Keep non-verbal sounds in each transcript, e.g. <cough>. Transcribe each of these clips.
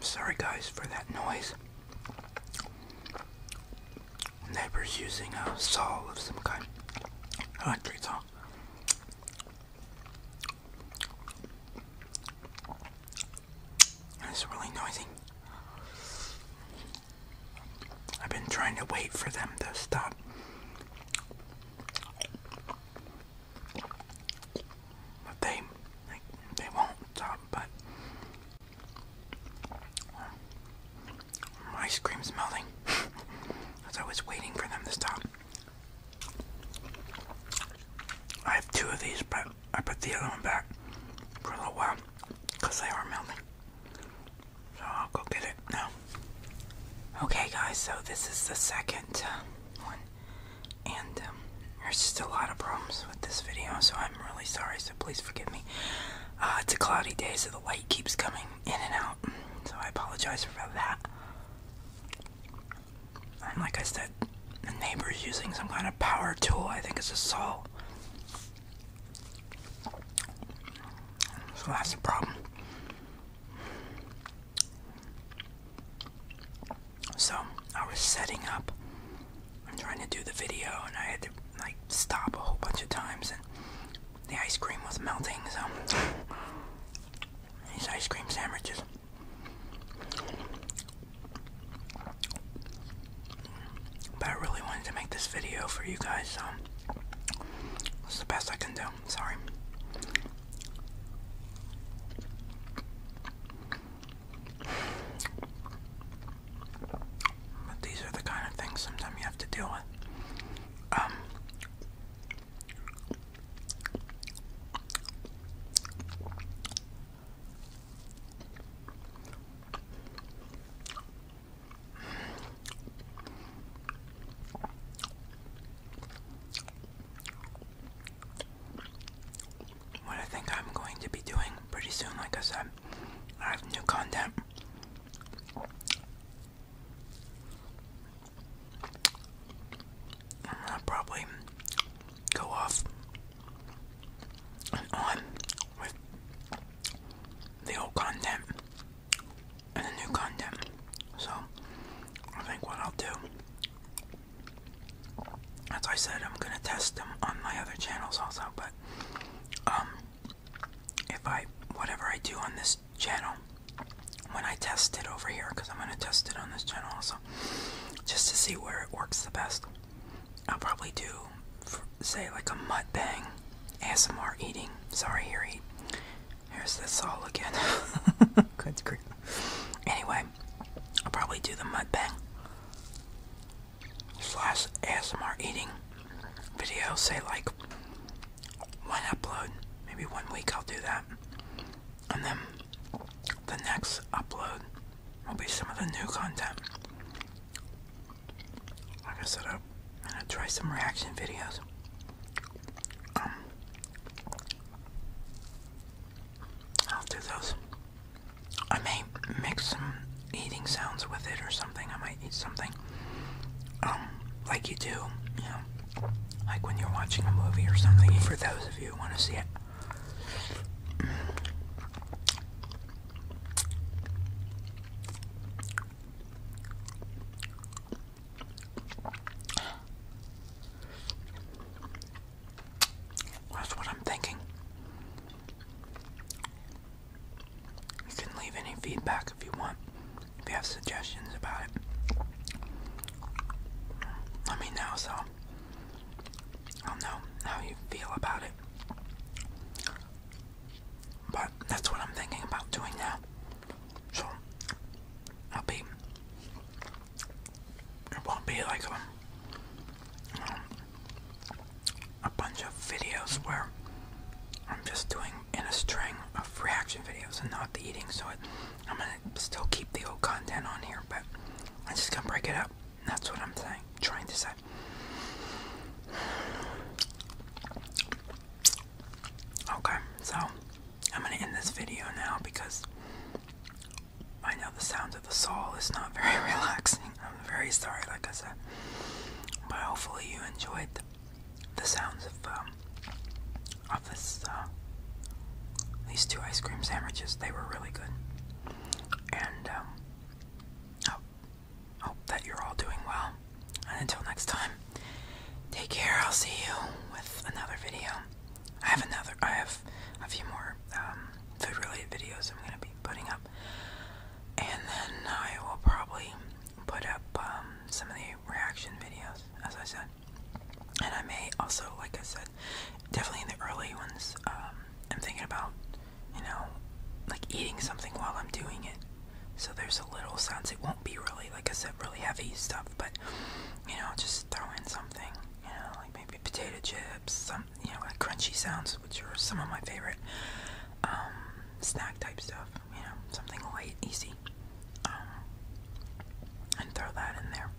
Sorry guys for that noise. Neighbor's using a saw of some kind. Electric saw. It's really noisy. I've been trying to wait for them to stop. But they, they won't stop, but ice cream's melting. <laughs> As I was waiting for them to stop. I have two of these, but I put the other one back for a little while because they are melting. So I'll go get it now. Okay, guys, so this is the second uh, one and um, there's just a lot of problems with this video, so I'm really sorry, so please forgive me. Uh, it's a cloudy day, so the light keeps coming in and out, so I apologize for that. And like I said, the neighbor's using some kind of power tool, I think it's a saw. So that's the problem. So I was setting up. I'm trying to do the video, and I had to like stop a whole bunch of times, and the ice cream was melting. So these ice cream sandwiches. But I really wanted to make this video for you guys. So it's the best I can do. Sorry. But these are the kind of things sometimes you have to deal with. Um, what I think I'm going to be doing pretty soon, like I said, I have new content. I'll probably go off and on with the old content and the new content. So I think what I'll do, as I said, I'm gonna test them on my other channels also. But um, if I whatever I do on this channel, when I test it over here, because I'm gonna test it on this channel also, just to see where it works the best, I'll probably do, say, like a mud mukbang, ASMR eating. Sorry, here eat. Here's this all again. Good <laughs> grief. Anyway, I'll probably do the mukbang slash ASMR eating video. Say like one upload, maybe one week I'll do that, and then the next upload will be some of the new content. Like I said, I'm gonna try some reaction videos. Um, I'll do those. I may mix some eating sounds with it or something. I might eat something. Um, like you do, you know, like when you're watching a movie or something, for those of you who want to see it. That's what I'm thinking. You can leave any feedback if you want, if you have suggestions about it. Let me know so I'll know how you feel about it. But that's what I'm thinking about doing now. So I'll be. It won't be like a, um, um, a bunch of videos where I'm just doing in a string of reaction videos and not the eating. So I'm gonna still keep the old content on here, but I'm just gonna break it up. That's what I'm saying. Trying to say. Okay, so I'm gonna end this video now because I know the sound of the saw is not <laughs> very relaxing. I'm very sorry, like I said, but hopefully you enjoyed the, sounds of um, of this uh, these two ice cream sandwiches. They were really good, and um, hope, that you're all doing well until next time, take care. I'll see you with another video. I have another, I have a few more um, food related videos I'm going to be putting up. And then I will probably put up um, some of the reaction videos, as I said. And I may also, like I said, definitely in the early ones, um, I'm thinking about, you know, like eating something while I'm doing it. So there's a little sounds. It won't be really, like I said, really heavy stuff, but you know, just throw in something, you know, like maybe potato chips, some, you know, like crunchy sounds, which are some of my favorite um, snack type stuff, you know, something light, easy, um, and throw that in there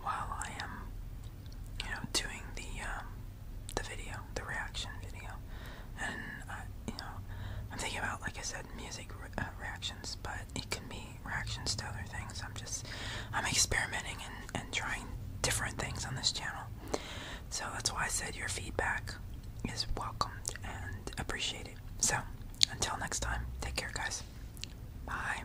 while I am, you know, doing the um, the video, the reaction video and uh, you know, I'm thinking about like I said, music uh, reactions, but it can be reactions to other things. I'm just, I'm experimenting and and trying different things on this channel, so that's why I said your feedback is welcomed and appreciated. So until next time, take care, guys. Bye.